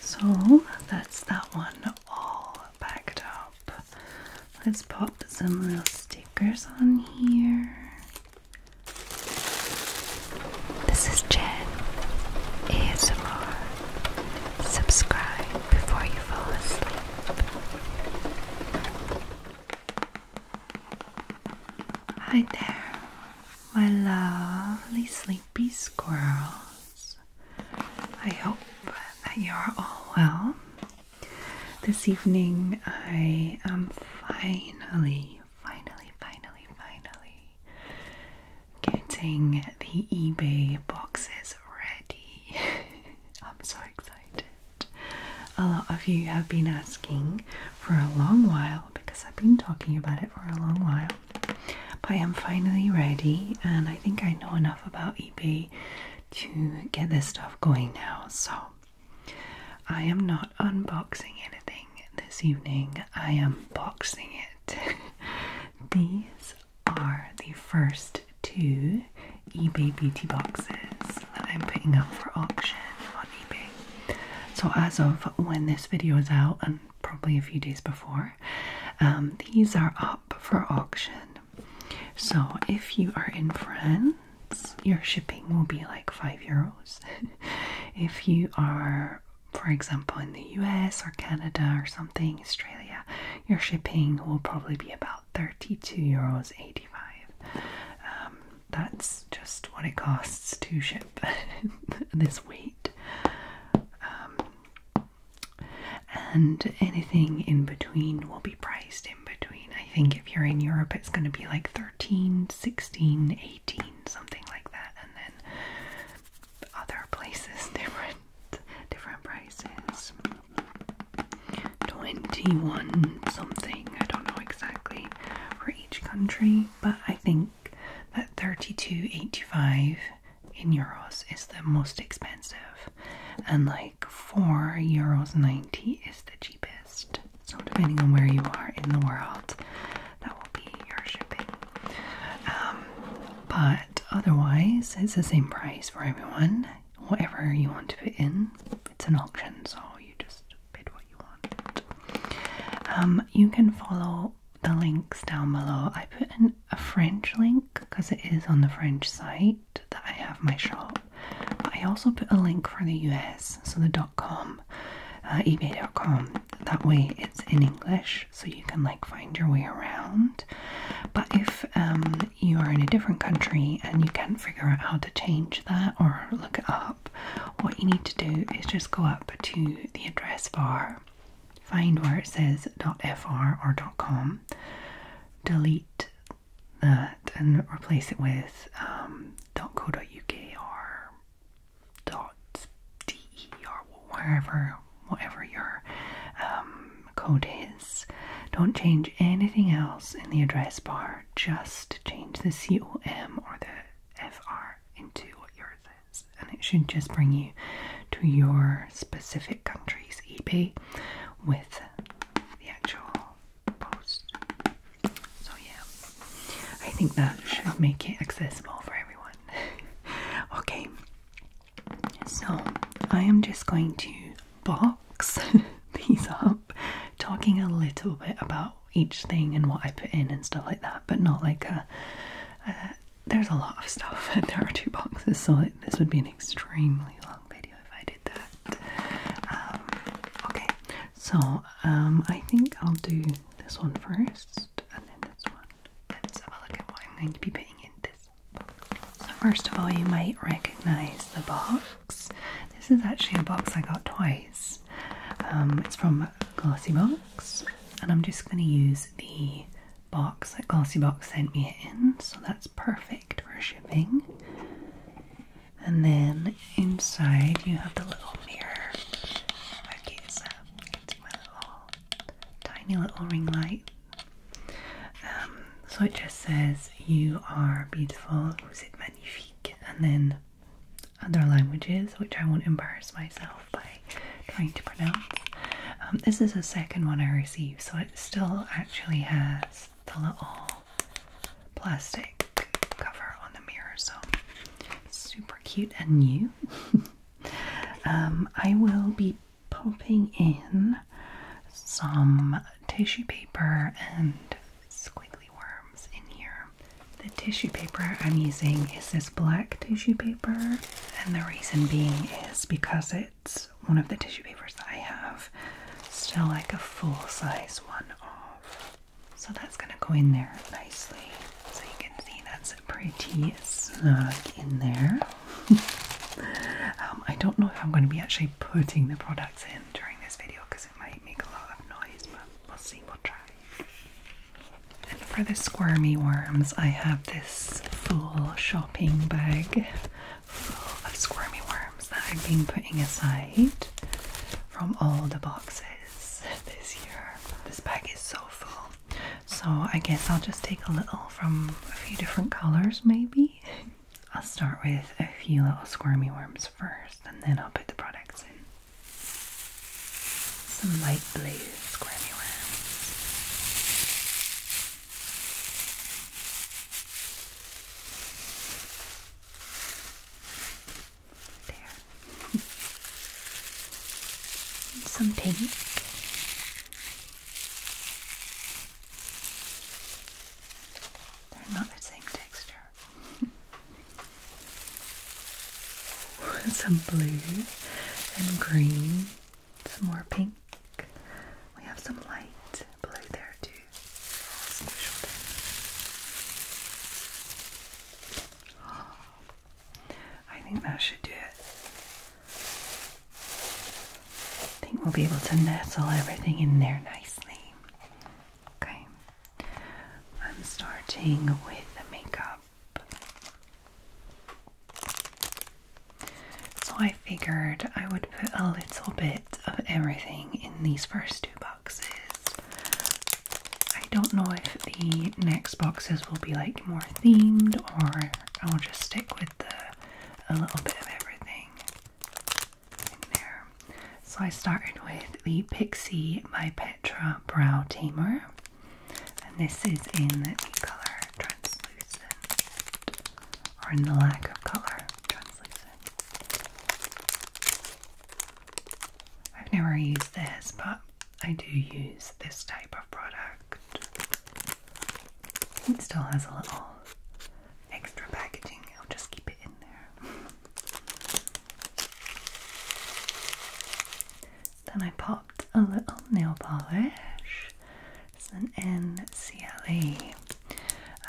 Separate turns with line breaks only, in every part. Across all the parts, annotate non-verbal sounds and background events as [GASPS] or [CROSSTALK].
So that's that one all packed up. Let's pop some real stickers on here. This is Jen ASMR. Subscribe before you fall asleep. Hi there, my lovely sleepy squirrels. I hope that you are all well. This evening, I am finally, finally, finally, finally getting the eBay boxes ready [LAUGHS] I'm so excited. A lot of you have been asking for a long while because I've been talking about it for a long while. But I am finally ready, and I think I know enough about eBay to get this stuff going now. So I am not unboxing anything this evening, I am boxing it. [LAUGHS] These are the first two eBay beauty boxes that I'm putting up for auction on eBay. So, as of when this video is out, and probably a few days before, um, these are up for auction. So, if you are in France, your shipping will be like five euros. [LAUGHS] if you are for example, in the US or Canada or something, Australia, your shipping will probably be about 32 euros 85. Um, that's just what it costs to ship [LAUGHS] this weight. Um, and anything in between will be priced in between. I think if you're in Europe, it's going to be like 13, 16, 18, something like that. And then other places, [LAUGHS] different, different prices. 21 something, I don't know exactly for each country, but I think that 32.85 in euros is the most expensive, and like 4 euros 90 is the cheapest. So, depending on where you are in the world, that will be your shipping. Um, but otherwise, it's the same price for everyone, whatever you want to put in. It's an auction, so you just bid what you want. Um, you can follow the links down below. I put in a French link because it is on the French site that I have my shop. I also put a link for the US, so the .com, uh, ebay.com. That way it's in English, so you can like find your way around. But if um, you are in a different country and you can't figure out how to change that or look it up, what you need to do is just go up to the address bar, find where it says .fr or .com, delete that and replace it with um, .co.uk or .de or wherever, whatever your um, code is. Don't change anything else in the address bar, just change the COM or the FR into what yours is, and it should just bring you to your specific country's EP with the actual post. So, yeah, I think that should make it accessible for everyone. [LAUGHS] okay, so I am just going to box [LAUGHS] these up, talking a little bit about each thing and what I put in and stuff like that, but not like a. there's a lot of stuff, and [LAUGHS] there are two boxes, so this would be an extremely long video if I did that. Um, okay, so um, I think I'll do this one first, and then this one. Let's have a look at what I'm going to be putting in this so first of all, you might recognize the box. This is actually a box I got twice. Um, it's from Glossybox, and I'm just going to use the box that Glossybox sent me in, so that's perfect for shipping. And then inside you have the little mirror. Okay, so it's my little tiny little ring light um, so it just says, You are beautiful, vous êtes magnifique, and then other languages, which I won't embarrass myself by trying to pronounce. Um, this is the second one I received, so it still actually has the little plastic cover on the mirror, so super cute and new. [LAUGHS] Um, I will be popping in some tissue paper and squiggly worms in here. The tissue paper I'm using is this black tissue paper, and the reason being is because it's one of the tissue papers that I have, still like a full size one of. So that's going to go in there nicely. So you can see that's pretty snug in there. [LAUGHS] Um, I don't know if I'm going to be actually putting the products in during this video because it might make a lot of noise, but we'll see, we'll try. for the squirmy worms, I have this full shopping bag full of squirmy worms that I've been putting aside from all the boxes this year. This bag is so full. So I guess I'll just take a little from a few different colors maybe I'll start with a few little squirmy worms first, and then I'll put the products in. Some light blue squirmy worms. There. [LAUGHS] Some pink. They're not the same texture. [LAUGHS] some blue and green, some more pink. We have some light blue there too. I think that should do it. I think we'll be able to nestle everything in there nicely. Okay, I'm starting with the makeup. So I figured I would put a little bit of everything in these first two boxes. I don't know if the next boxes will be like more themed or I'll just stick with the a little bit of everything. So I started with the Pixie My Petra Brow Tamer, and this is in the color translucent, or in the lack of color translucent. I've never used this, but I do use this type of product. It still has a little extra packaging. I'll just keep it in there. then I popped a little nail polish. It's an NCLE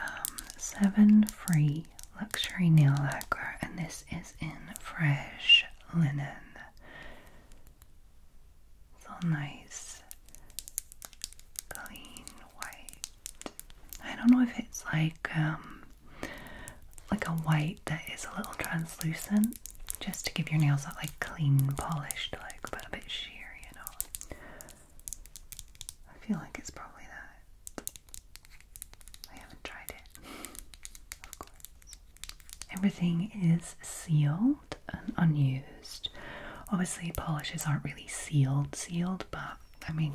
um, 7 Free Luxury Nail Lacquer, and this is in fresh linen. It's all nice clean white. I don't know if it's like um like a white that is a little translucent, just to give your nails that like clean, polished look, but a bit sheer, you know. I feel like it's probably that. I haven't tried it. [LAUGHS] Of course. Everything is sealed unused. Obviously, polishes aren't really sealed, sealed, but I mean,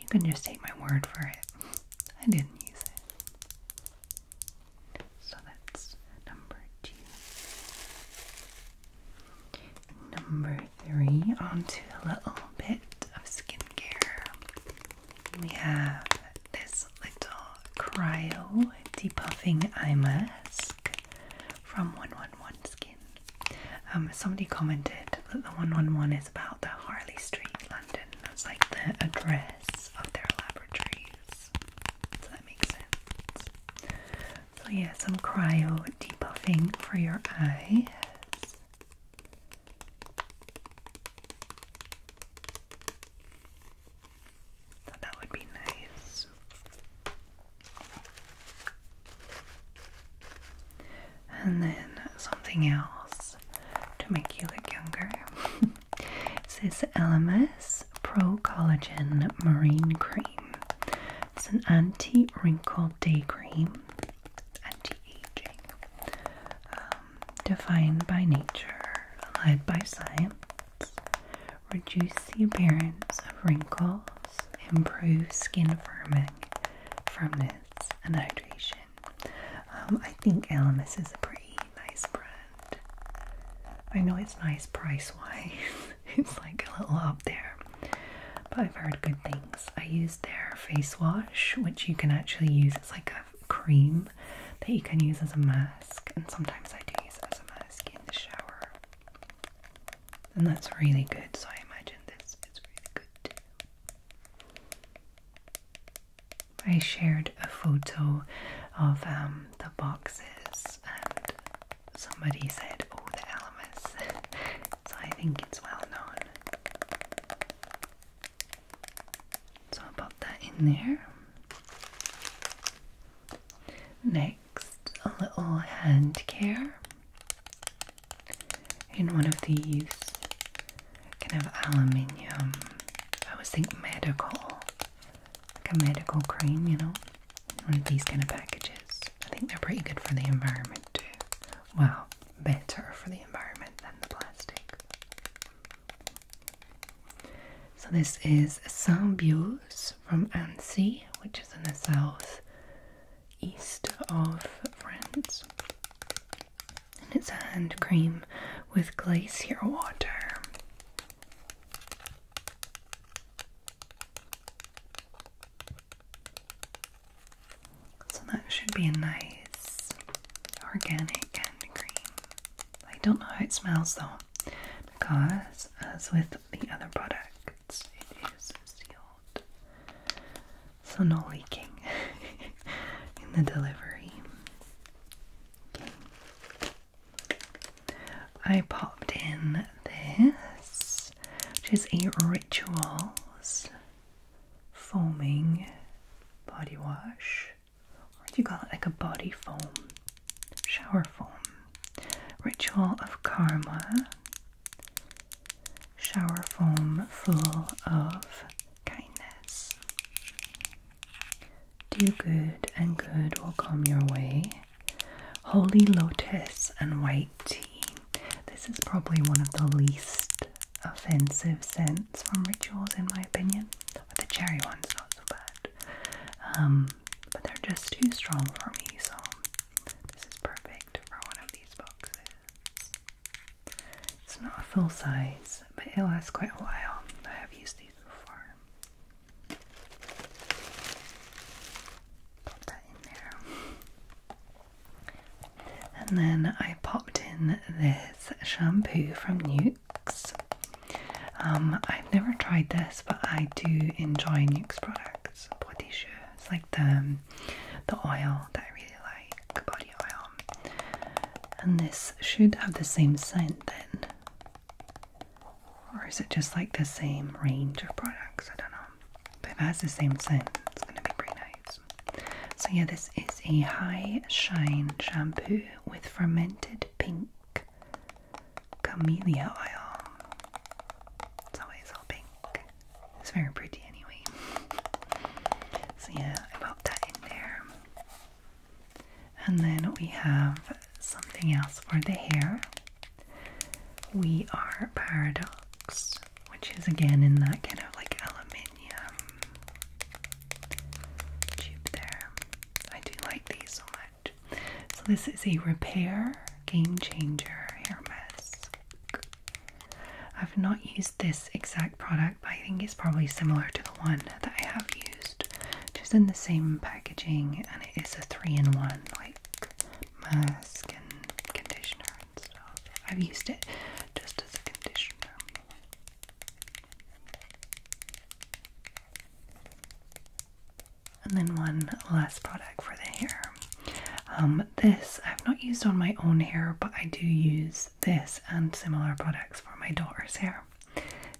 you can just take my word for it. I didn't use it. So that's number two. Number three, onto a little bit of skincare. We have this little cryo depuffing eye mask from 111 Skin. Um, somebody commented that the 111 is about the Harley Street, London. That's like the address of their laboratories. So that makes sense. So, yeah, some cryo debuffing for your eyes. that would be nice. And then something else to make you look younger. [LAUGHS] this is LMS Pro Collagen Marine Cream. It's an anti wrinkle day cream, anti aging, um, defined by nature, led by science, reduce the appearance of wrinkles improve skin firming, firmness, and hydration. Um, I think Elemis is a pretty nice brand. I know it's nice price wise, [LAUGHS] it's like a little up there, but I've heard good things. I used their face wash, which you can actually use as like a cream that you can use as a mask, and sometimes I do use it as a mask in the shower. And that's really good. So I imagine this is really good too. I shared a photo of um, the boxes, and somebody said, "Oh, the Elemis." [LAUGHS] so I think it's well known. So i pop that in there. Next next a little hand care in one of these kind of aluminium, I was think medical, like a medical cream, you know, one of these kind of packages. I think they're pretty good for the environment too. Well, better for the environment than the plastic. So this is Symbiose from Annecy, which is in the south east of France. And it's a hand cream with glacier water. So that should be a nice organic hand cream. I don't know how it smells though, because as with the other products, it is sealed. So no leaking [LAUGHS] in the delivery. I popped in this, which is a Rituals foaming body wash. Or do you call it like a body foam? Shower foam. Ritual of Karma shower foam full of kindness. Do good and good will come your way. Holy Lotus and White Tea. This is probably one of the least offensive scents from rituals, in my opinion. But the cherry one's not so bad. Um, but they're just too strong for me, so this is perfect for one of these boxes. It's not full size, but it lasts quite a while. I have used these before. Pop that in there. And then I popped in this shampoo from Nuxe. Um, I've never tried this, but I do enjoy Nuxe products. Body Shoe. It's like the um, the oil that I really like, body oil. And this should have the same scent then. Or is it just like the same range of products? I don't know. But if it has the same scent, it's gonna be pretty nice. So yeah, this is a high shine shampoo with fermented pink camellia oil. It's always pink. It's very pretty anyway. So yeah, I popped that in there. And then we have something else for the hair. We are Paradox, which is again in that kind of like aluminium tube there. I do like these so much. So this is a repair game changer hair mask. I've not used this exact product, but I think it's probably similar to the one that I have used. Just in the same packaging, and it is a three in one, like mask and conditioner and stuff. I've used it just as a conditioner. And then one last product for the hair. Um, this I've not used on my own hair, but I do use this and similar products for my daughter's hair.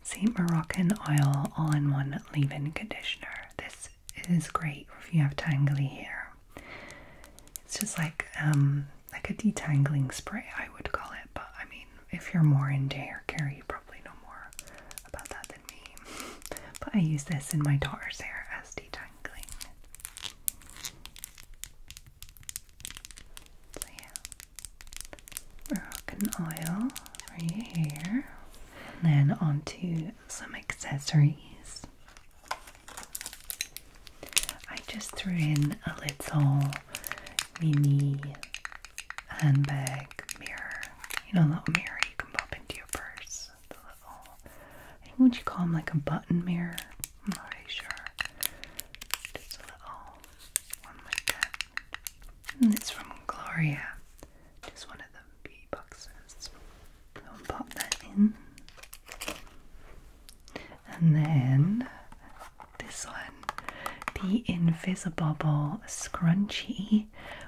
See Moroccan Oil All in One Leave In Conditioner. This is great if you have tangly hair. It's just like um, like a detangling spray, I would call it, but I mean, if you're more into hair care, you probably know more about that than me. [LAUGHS] But I use this in my daughter's hair as detangling tingling. and oil for your hair. And then onto some accessories. I just threw in a little mini handbag mirror. You know, that mirror you can pop into your purse this the little I think what you call them like a button mirror. I'm not really sure. Just a little one like that. And it's from Gloria. Just one of them beauty boxes. So I'll pop that in. And then this one, the Invisibobble Scrunchie,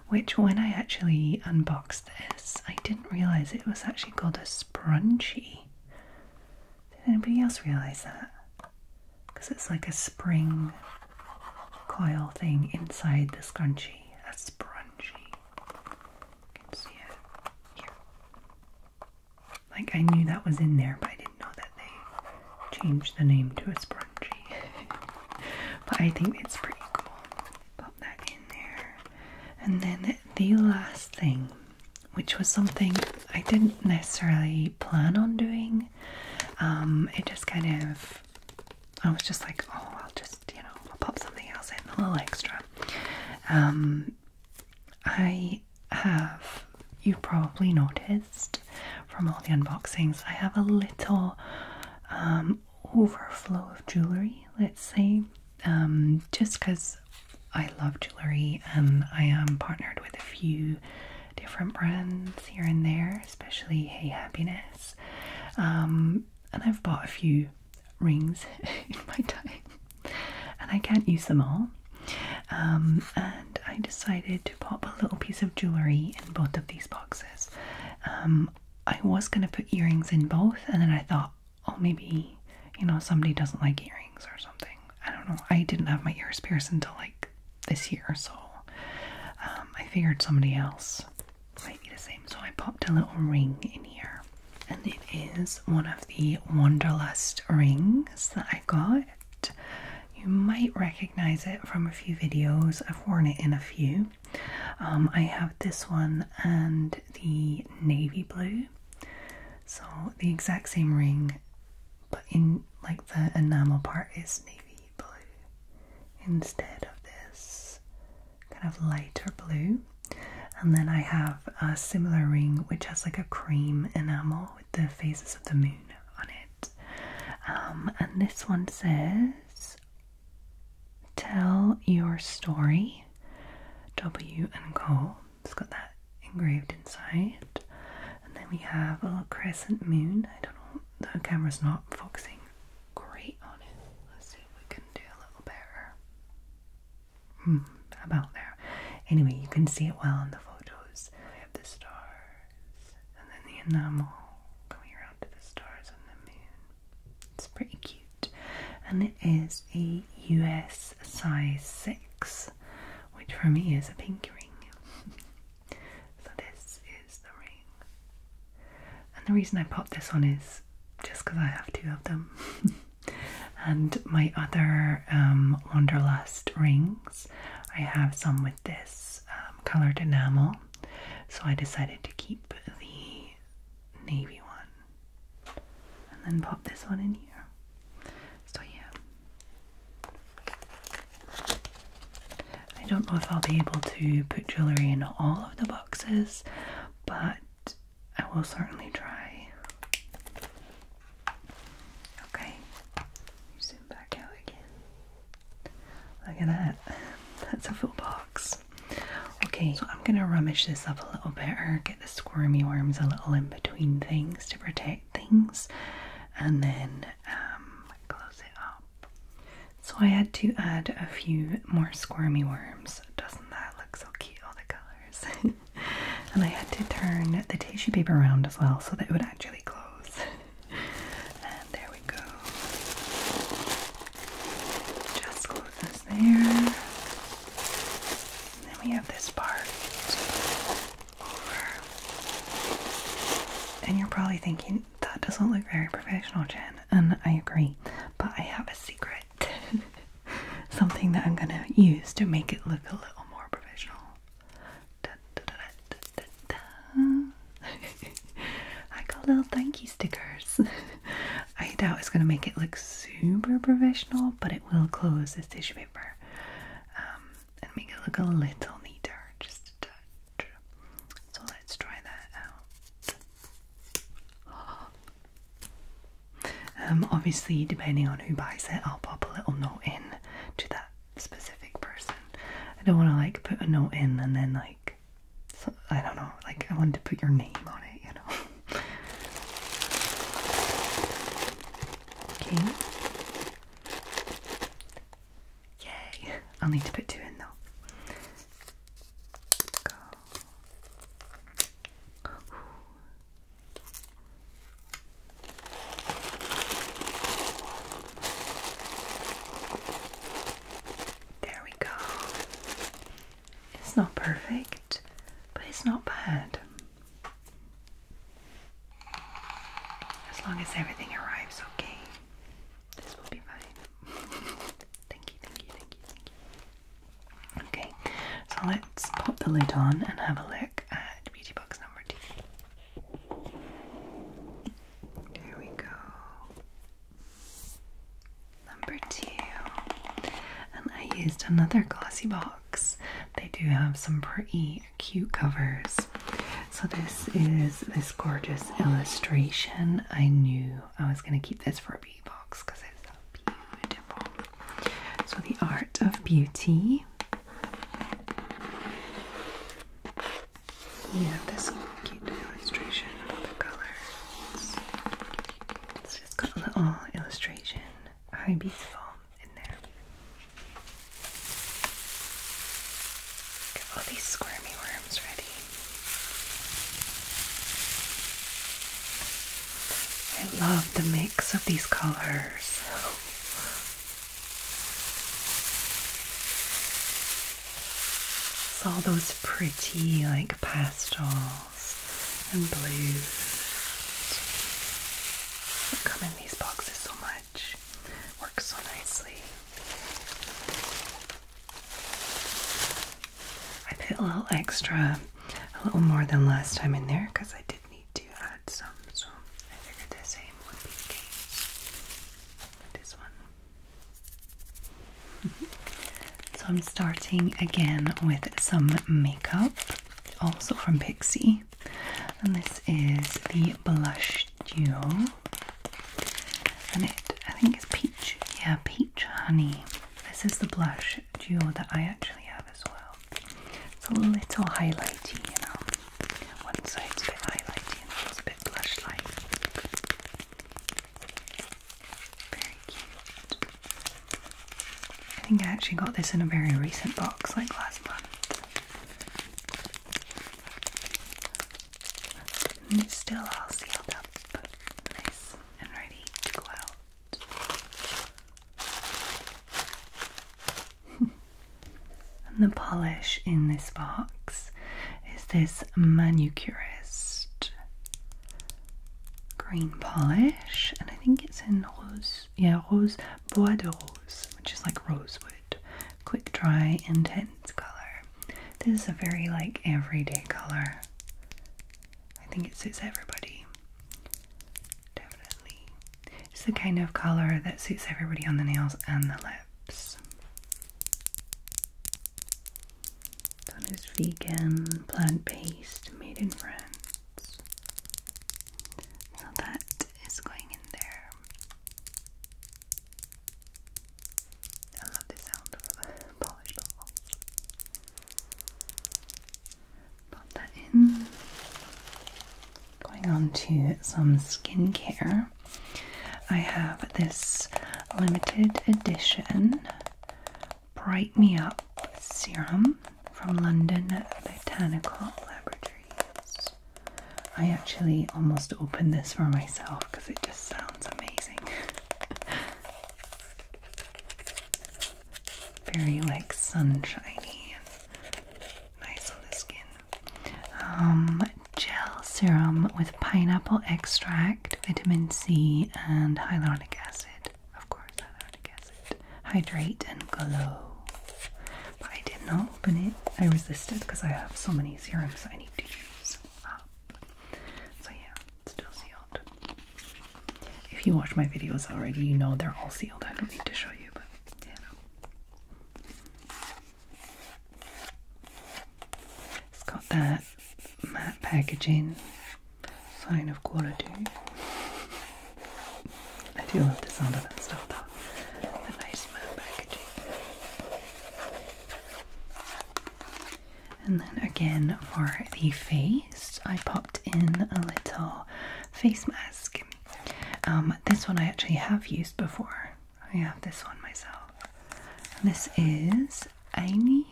which when I actually unboxed this? I didn't realize it was actually called a sprunchie. Did anybody else realize that? Because it's like a spring coil thing inside the scrunchie. A sprunchie. You can see it here. Like I knew that was in there, but I didn't know that they changed the name to a scrunchie. [LAUGHS] but I think it's pretty cool. Pop that in there. And then the last thing, which was something I didn't necessarily plan on doing, um, it just kind of, I was just like, oh, I'll just, you know, I'll pop something else in, a little extra. Um, I have, you probably noticed from all the unboxings, I have a little um, overflow of jewelry, let's say, um, just because I love jewelry and I am partnered with a few different brands here and there, especially Hey Happiness. Um, and I've bought a few rings [LAUGHS] in my time, and I can't use them all. Um, and I decided to pop a little piece of jewelry in both of these boxes. I was gonna put earrings in both, and then I thought, oh, maybe you know somebody doesn't like earrings or something. I don't know. I didn't have my ears pierced until like this year, so um, I figured somebody else might be the same. So I popped a little ring in here, and it is one of the Wanderlust rings that I got. You might recognize it from a few videos. I've worn it in a few. Um, I have this one and the navy blue. So the exact same ring, but in like the enamel part is navy blue instead of this kind of lighter blue. And then I have a similar ring which has like a cream enamel with the phases of the moon on it. Um, and this one says Tell Your Story, W and Gold. It's got that engraved inside. And then we have a little crescent moon. I don't know, the camera's not focusing great on it. Let's see if we can do a little better. Hmm, about there. Anyway, you can see it well in the photos. We have the stars and then the enamel coming around to the stars and the moon. It's pretty cute, and it is a US size 6, which for me is a pink ring. [LAUGHS] so, this is the ring, and the reason I popped this on is just because I have two of them. [LAUGHS] and my other um, Wanderlust rings, I have some with this um, coloured enamel, so I decided to keep the navy one and then pop this one in here. So yeah, I don't know if I'll be able to put jewellery in all of the boxes, but I will certainly try. Okay, you zoom back out again. Look at that, [LAUGHS] that's a full box. Okay, so I'm gonna rummage this up a little bit or get the squirmy worms a little in between things to protect things and then um, close it up. So I had to add a few more squirmy worms. Doesn't that look so cute, all the colours? [LAUGHS] and I had to turn the tissue paper around as well so that it would actually close. [LAUGHS] and there we go. Just close there. And then we have this part over. And you're probably thinking, that doesn't look very professional, Jen. And I agree, but I have a secret. [LAUGHS] Something that I'm gonna use to make it look a little more professional. [LAUGHS] I got little thank you stickers. [LAUGHS] I doubt it's going to make it look super professional, but it will close this tissue paper um, and make it look a little neater, just a touch. So let's try that out. [GASPS] Um, obviously, depending on who buys it, I'll pop a little note in to that specific person. I don't want to like put a note in and then like I don't know, like I wanted to put your name on it, you know. [LAUGHS] okay. Yay. I'll need to put two in though. There we go. It's not perfect, but it's not bad. As long as everything arrives okay, this will be fine. [LAUGHS] thank you, thank you, thank you, thank you. Okay, so let's pop the lid on and have a look at beauty box number two. There we go. Number two, and I used another glossy box. They do have some pretty cute covers. So, this is this gorgeous illustration. I knew I was going to keep this for a beauty box because it's so beautiful. So, The Art of Beauty. Yeah, this cute illustration of the colors. Just got a little illustration. How beautiful in there. Get all these squirmy worms ready. I love the mix of these colors. [LAUGHS] It's all those pretty, like pastel and blues come in these boxes so much. Works so nicely. I put a little extra, a little more than last time in there because I did need to add some, so I figured the same would be the case. This one. [LAUGHS] So I'm starting again with some makeup, also from Pixie, and this is the Blush Duo, and it I think it's peach, yeah, peach honey. This is the blush duo that I actually have as well. It's a little highlighty, you know. One side's a bit highlighty and one's a bit blush-like. Very cute. I think I actually got this in a very recent box, like last month. And it's still all sealed up, nice and ready to go [LAUGHS] and the polish in this box is this manicurist green polish, and I think it's in rose, yeah, rose bois de rose, which is like rosewood, quick dry, intense color. This is a very like everyday color. I think it suits everybody. Definitely, it's the kind of color that suits everybody on the nails and the lips. That is vegan, plant-based, made in France. So that is going in there. I love the sound of polished bubbles. Pop that in. Going on to some skincare. I have this limited edition Bright Me Up serum from London Botanical Laboratories. I actually almost opened this for myself because it just sounds amazing. [LAUGHS] Very like sunshiny and nice on the skin. Um, gel serum with pineapple extract, vitamin C, and hyaluronic acid. Of course, I already guessed it. Hydrate and glow. But I did not open it. I resisted because I have so many serums I need to use up. So yeah, still sealed. If you watch my videos already, you know they're all sealed. I don't need to show you, but yeah. It's got that Mat packaging, sign of quality. I do love the sound of that stuff The nice matte packaging. And then again for the face, I popped in a little face mask. Um, this one I actually have used before. I have this one myself. this is Aini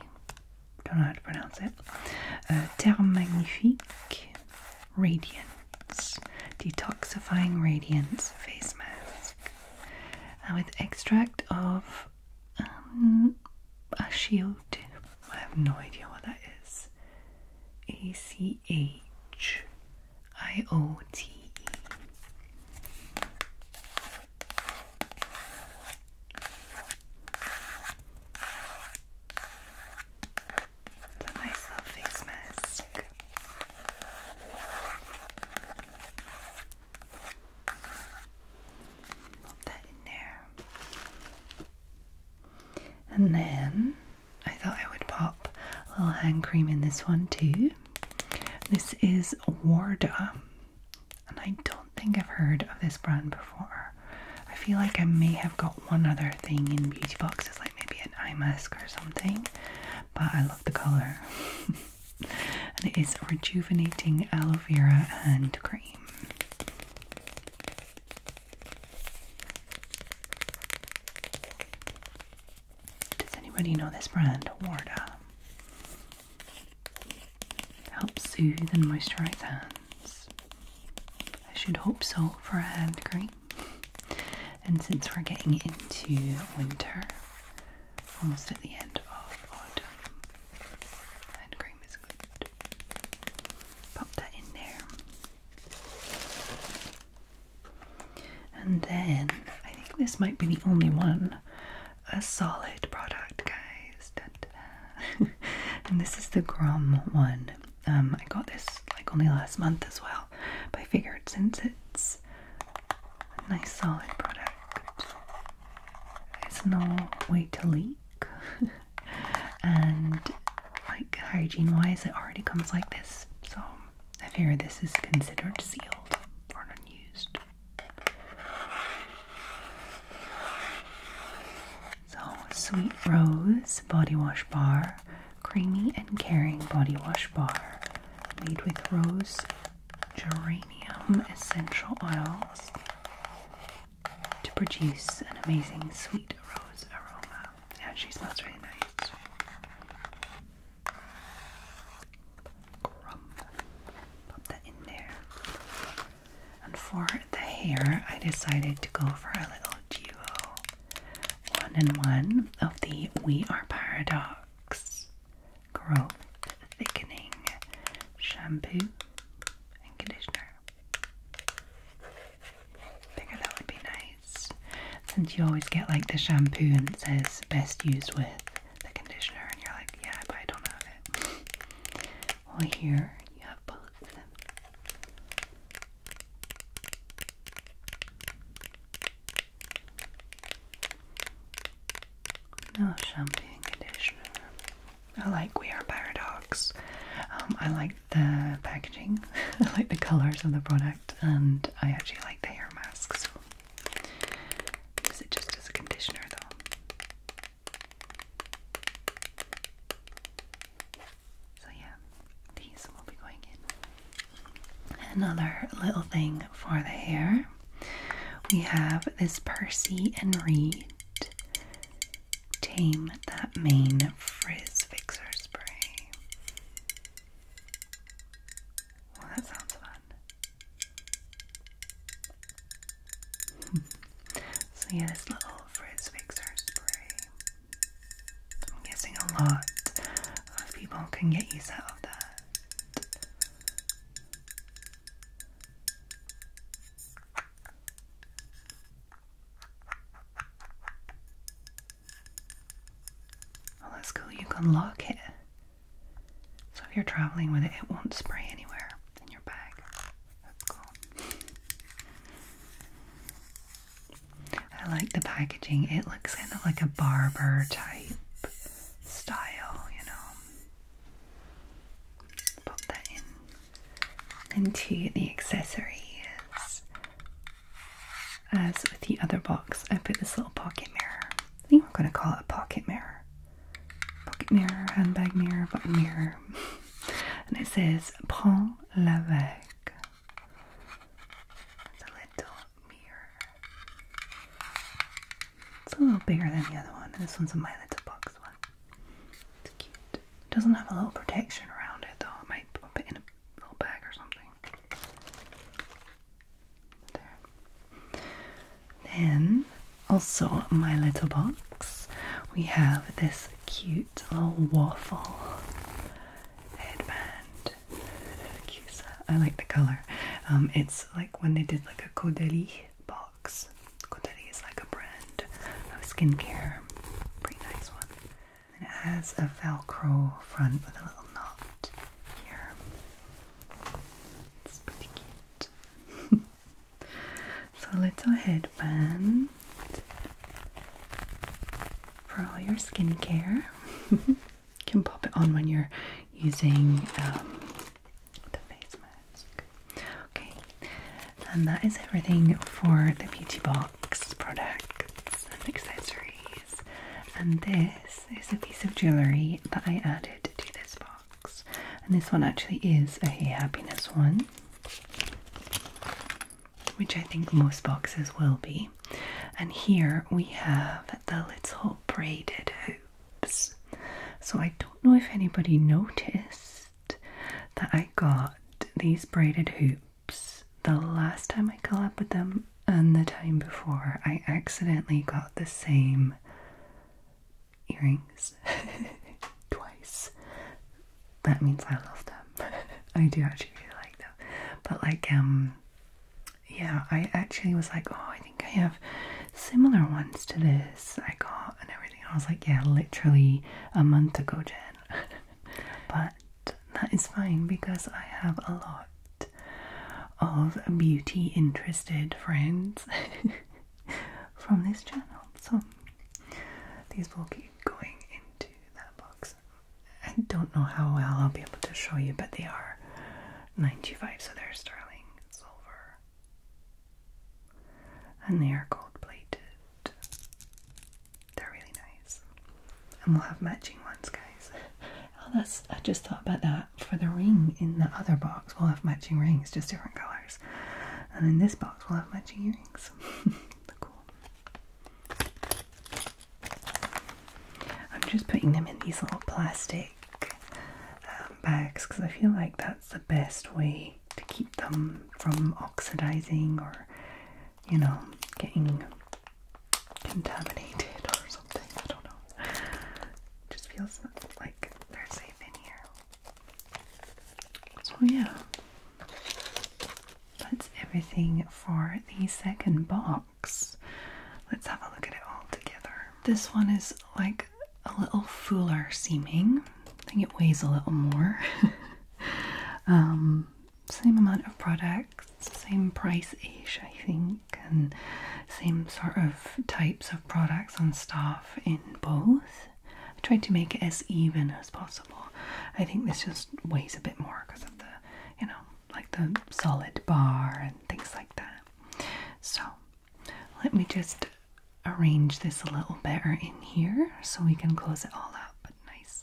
don't know how to pronounce it. Uh, Magnifique Radiance Detoxifying Radiance Face Mask and uh, with extract of um, a shield. I have no idea what that is. A C H I O T E. A little face mask. Pop that in there. And then I thought I would pop a little hand cream in this one too. This is Warda and I don't think I've heard of this brand before. I feel like I may have got one other thing in beauty boxes, like maybe an eye mask or something, but I love the colour. [LAUGHS] it is rejuvenating aloe vera hand cream. Does anybody know this brand? Warda to help soothe and moisturize hands. I should hope so for a hand cream. And since we're getting into winter, almost at the end of autumn, hand cream is good. Pop that in there. And then I think this might be the only one a solid product, guys. [LAUGHS] and this is the Grum one. Um, I got this like only last month as well, but I figured since it's a nice solid product, it's no way to leak. [LAUGHS] and like hygiene wise, it already comes like this, so I figure this is considered sealed or unused. So, Sweet Rose Body Wash Bar, Creamy and Caring Body Wash Bar, made with rose geranium essential oils to produce an amazing sweet rose aroma. Yeah, she smells really nice. Crumb. Pop that in there. And for the hair, I decided to go for a little duo one and one of the We Are Paradox Growth Thickening Shampoo and Conditioner. Figure that would be nice since you always get like the shampoo and it says best used with the conditioner, and you're like, yeah, but I don't have it. Well, here you have both of them. No shampoo and conditioner. I like We Are Paradox. Um, I like the packaging, [LAUGHS] I like the colours of the product, and I actually like the hair mask. So, is it just as a conditioner though? So, yeah, these will be going in. Another little thing for the hair we have this Percy and Reed Tame That Mane Frizz Fixer Spray. Well, that sounds fun. Hmm. so yeah, this little frizz fixer spray. I'm guessing a lot of people can get used to that. Well, that's cool. You can lock it. So if you're traveling with it, it won't spray anywhere in your bag. That's cool. I like the packaging. It looks kind of like a barber type style, you know. Pop that in into the accessories. As with the other box, I put this little pocket mirror. I think we're going to call it a pocket mirror pocket mirror, handbag mirror, button mirror. [LAUGHS] and it says Paul Levesque. It's a little mirror. It's a little bigger than the other one. This one's a My Little Box one. It's cute. It doesn't have a little protection around it though. I might put it in a little bag or something. There. Then also, my little box, we have this cute little waffle headband. I like the color. Um, it's like when they did like a Caudalie box. Caudalie is like a brand of skincare. Pretty nice one. And it has a Velcro front with a little knot here. It's pretty cute. [LAUGHS] So a little headband. For all your skincare, [LAUGHS] you can pop it on when you're using um, the face mask. Okay, and that is everything for the beauty box products and accessories. And this is a piece of jewellery that I added to this box. And this one actually is a Hey Happiness one, which I think most boxes will be. And here we have the little braided hoops. So I don't know if anybody noticed that I got these braided hoops the last time I collabed with them and the time before. I accidentally got the same earrings [LAUGHS] twice. That means I love them. [LAUGHS] I do actually really like them. But like um yeah, I actually was like, oh, I think I have similar ones to this I got and everything. I was like, yeah, literally a month ago, Jen. [LAUGHS] but that is fine because I have a lot of beauty interested friends from this channel. So these will keep going into that box. I don't know how well I'll be able to show you, but they are 95, so they're sterling silver. And they are gold plated. They're really nice. And we'll have matching ones, guys. Oh, that's I just thought about that. For the ring in the other box, we'll have matching rings, just different colors. And in this box we'll have my earrings. [LAUGHS] cool. I'm just putting them in these little plastic um, bags because I feel like that's the best way to keep them from oxidizing or, you know, getting contaminated [LAUGHS] or something. I don't know. just feels like they're safe in here. So, yeah, that's everything for the second box. Let's have a look at it all together. This one is like a little fuller seeming, I think it weighs a little more. [LAUGHS] Um, same amount of products, same price ish, I think, and same sort of types of products and stuff in both. I tried to make it as even as possible. I think this just weighs a bit more because of the, you know, like the solid bar and things like that. So let me just arrange this a little better in here so we can close it all up nicely.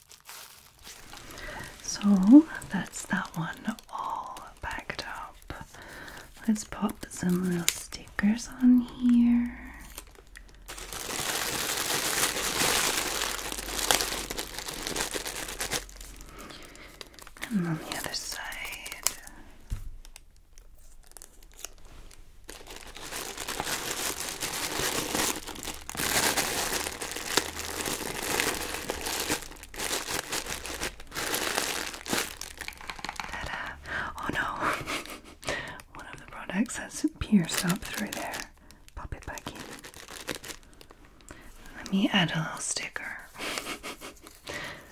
So that's that one all packed up. Let's pop some little stickers on here. And on the other side. Oh no! [LAUGHS] One of the products has pierced up through there. Pop it back in. Let me add a little sticker.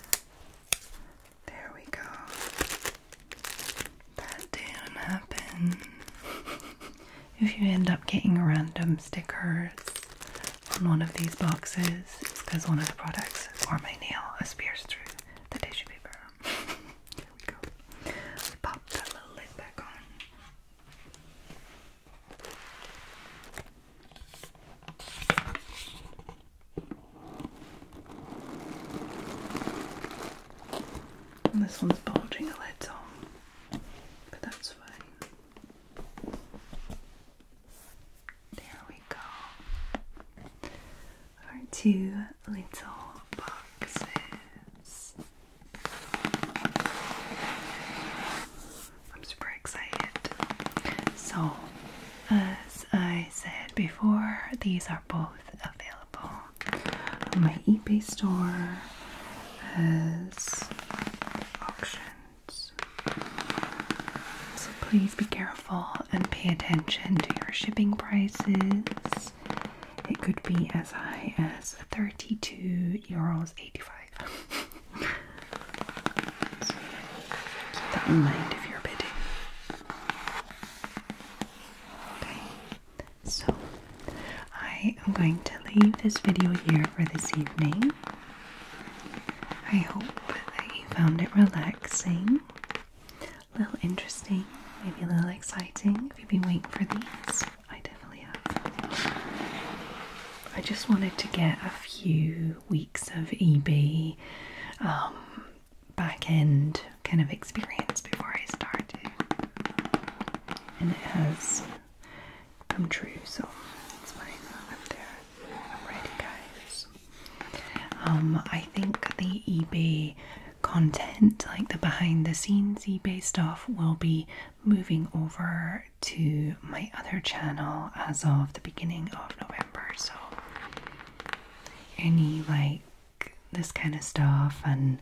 [LAUGHS] there we go. That didn't happen. [LAUGHS] if you end up getting random stickers on one of these boxes, it's because one of the products or my nail is pierced through the tissue paper. [LAUGHS] there we go. We pop that little lid back on. this one's bulging a little but that's fine. There we go. Our two little boxes. I'm super excited. So, as I said before, these are both available on my eBay store has options. So please be careful and pay attention to your shipping prices. It could be as high as 32 euros 85. [LAUGHS] keep that in mind if you're bidding. So, I am going to leave this video here for this evening. I hope that you found it relaxing, a little interesting, maybe a little exciting. If you've been waiting for these, I definitely have. I just wanted to get a few weeks of EB um, back end kind of experience before I started, and it has come true. So it's fine. I'm there. I'm ready, guys. Um, I think the eBay content, like the behind the scenes eBay stuff, will be moving over to my other channel as of the beginning of November. So any like this kind of stuff and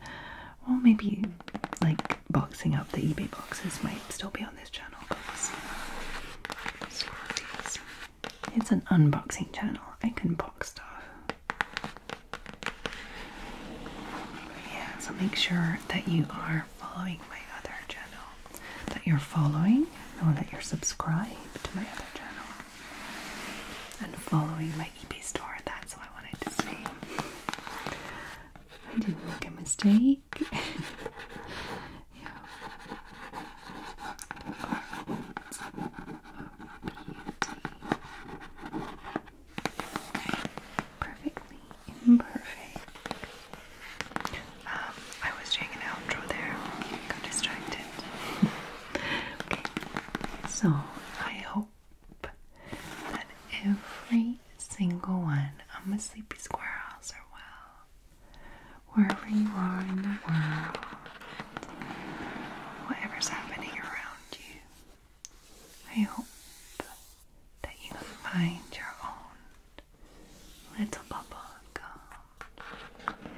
well, maybe like boxing up the eBay boxes might still be on this channel because it's an unboxing channel. I can box stuff. Yeah, so make sure that you are following my other channel. That you're following, or that you're subscribed to my other channel. And following my eBay store, that's what I wanted to say. I do make a mistake. [LAUGHS] Perfectly imperfect. Um, I was doing an outro there. Got distracted. [LAUGHS] okay. So I hope that every single one of my sleepy squirrels are well. Wherever you are in the world, whatever's happening around you, I hope that you find your own little bubble of calm.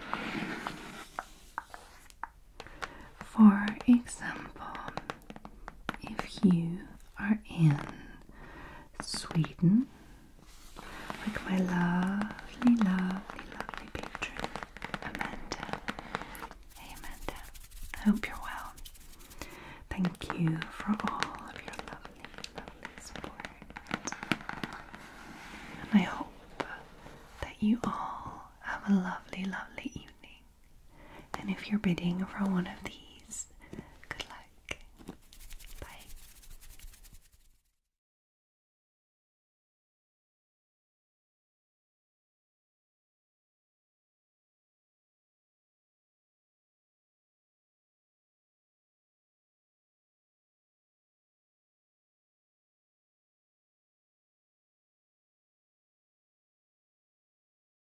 For example, if you are in Sweden, like my lovely, lovely, lovely patron, Amanda. Hey Amanda, I hope you're well. Thank you for all of your lovely, lovely support. And I hope that you all have a lovely, lovely evening. And if you're bidding for one of these, good luck. Bye.